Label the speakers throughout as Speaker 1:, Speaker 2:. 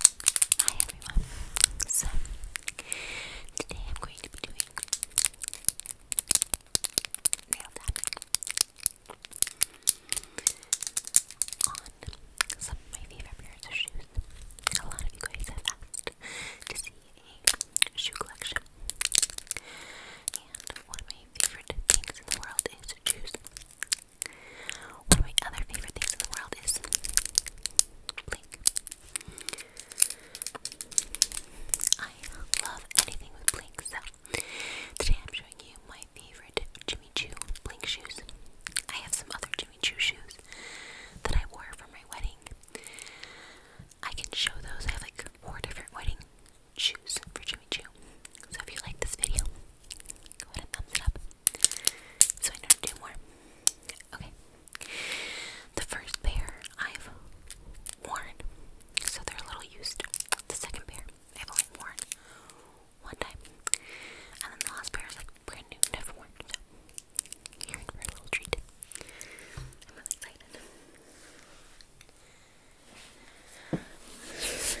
Speaker 1: Hi everyone. So today I'm going to be doing nail tapping on some of my favorite pairs of shoes. A lot of you guys have asked to see a shoe collection, and one of my favorite things in the world is shoes. One of my other favorite things in the world is blink. I love anything with blink, so today I'm showing you my favorite Jimmy Choo blink shoes. I have some other Jimmy Choo shoes that I wore for my wedding. I can show those. I have like four different wedding shoes for Jimmy Choo. So if you like this video, go ahead and thumbs it up. So I know to do more. Okay. The first pair I've worn, so they're a little used. The second pair I've only worn one time. And then the last pair is brand new, never worn. So for a little treat. I'm really excited.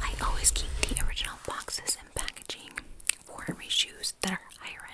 Speaker 1: I always keep the original boxes and packaging for my shoes that are higher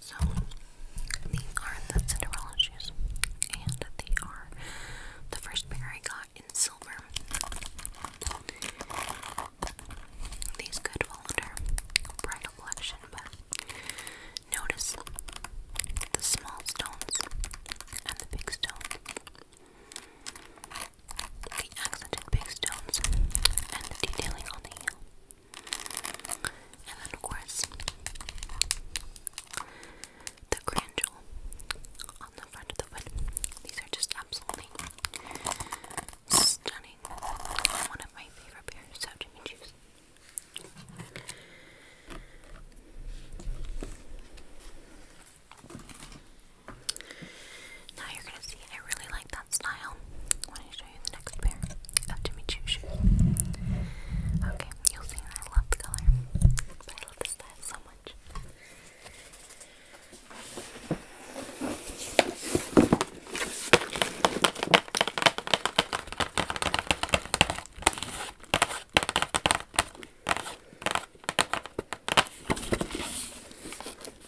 Speaker 2: So, these are the Cinderella shoes, and they are the first pair I got in silver. These could fall bridal collection, but notice the small stones and the big stones the accented big stones, and detailing on the heel. And then, of course, the grand on the front of the foot. These are just absolutely stunning. One of my favorite pairs of Jimmy Choo's. Now you're gonna see I really like that style when I show you the next pair of Jimmy Choo shoes. Okay, you'll see I love the color, I love this style so much.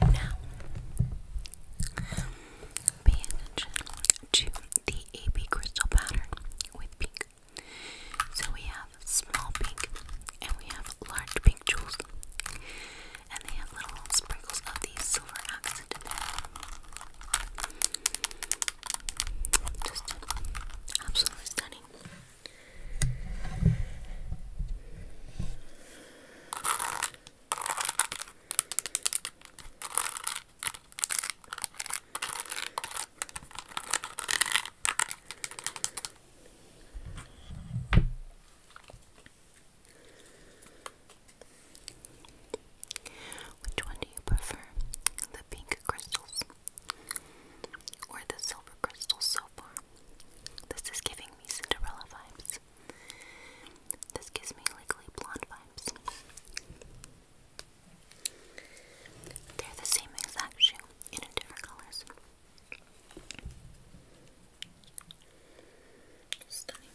Speaker 2: Now, pay attention to the AB crystal pattern with pink. So we have small pink and we have large pink jewels. And they have little sprinkles of the silver accent Just absolutely stunning. Which one do you prefer? The pink crystals or the silver crystals so far? This is giving me Cinderella vibes. This gives me Legally Blonde vibes. They're the same exact shoe in different colors. Stunning.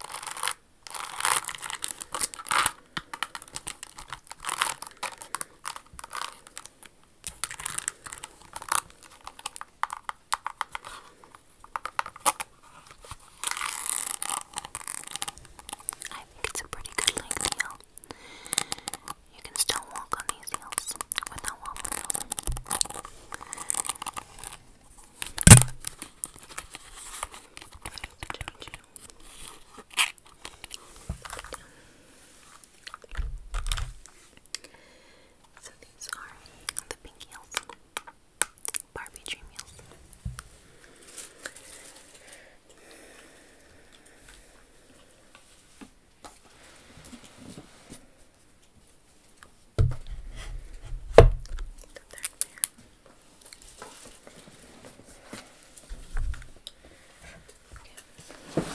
Speaker 2: I
Speaker 3: think it's a pretty good length heel. You can still walk on these heels without wobble heels. So these are the pink heels, Barbie Dream heels. Okay. Put that there. Okay. Okay.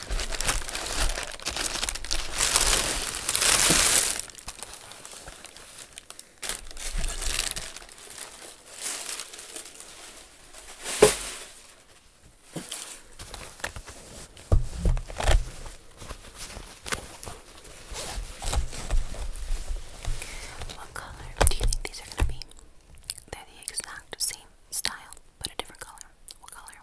Speaker 4: What color do you think these are going to be? They're the exact same style, but a different color. What color?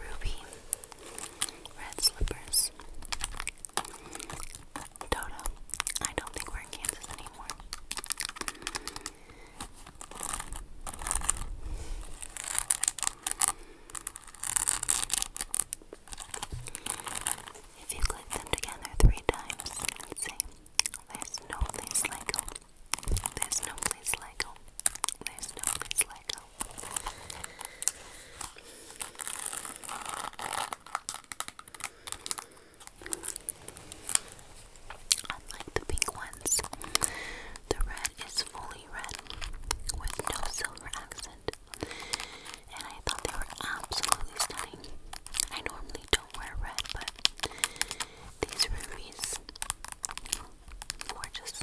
Speaker 3: Ruby, Red Slippers, Dodo. I don't think we're in Kansas anymore. If you click them together three times, let there's no
Speaker 1: like there's no place like home. There's no place like home. Unlike the pink ones, the red is fully red with no silver accent. And I thought they were absolutely stunning. I normally don't wear red, but these rubies, gorgeous.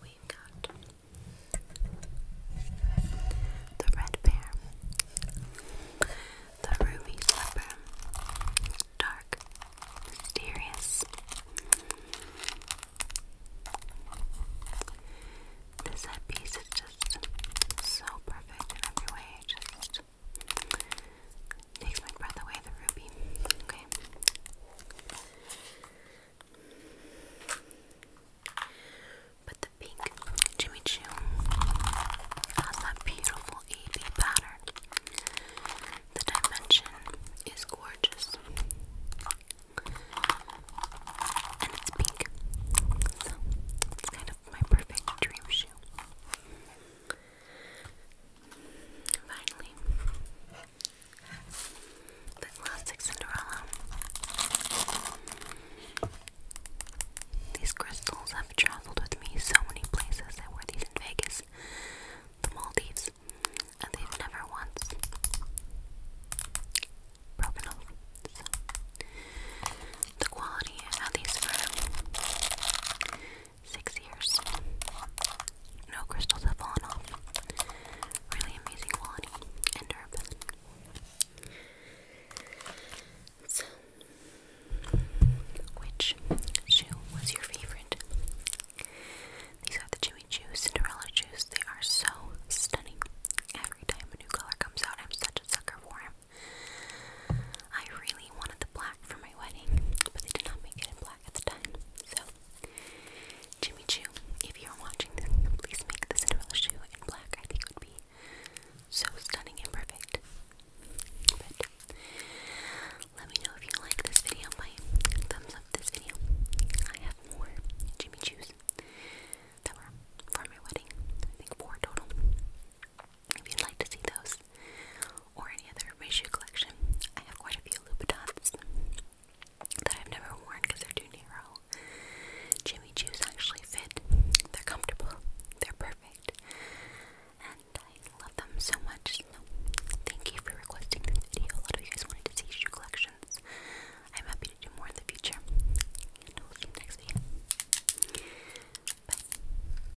Speaker 1: We've got the red bear, the ruby slipper, dark, mysterious. This headpiece is just so perfect in every way. Just Takes my breath away, the ruby. Okay. But the pink Jimmy Choo has that beautiful AB pattern. The dimension is gorgeous. And it's pink. So it's kind of my perfect dream shoe. Finally, the classic Cinderella. These crystals have traveled with me so many places. I were these in Vegas, the Maldives, and they've never once broken the quality of these six years. No crystals have fallen off. Really amazing quality and So, which shoe was your favorite? These are the Jimmy Choo Cinderella shoes. They are so stunning. Every time a new color comes out, I'm such a sucker for them. I really wanted the black from my wedding, but they did not make it in black at the time. So, Jimmy Choo, if you're watching this, please make the Cinderella shoe in black. I think would be so stunning and perfect. let me know if you like this video by
Speaker 4: thumbs up this video. I have more Jimmy Choo's that were for my wedding. I think four total if you'd like to see those or any other ratio collection. I have quite a few Louboutins that I've never worn because they're too narrow. Jimmy Choo's actually fit. They're comfortable. They're perfect. And I love them so much. thank you for requesting this video. A lot of you guys wanted to see shoe collections. I'm happy to do more in the future. see you next video. Bye.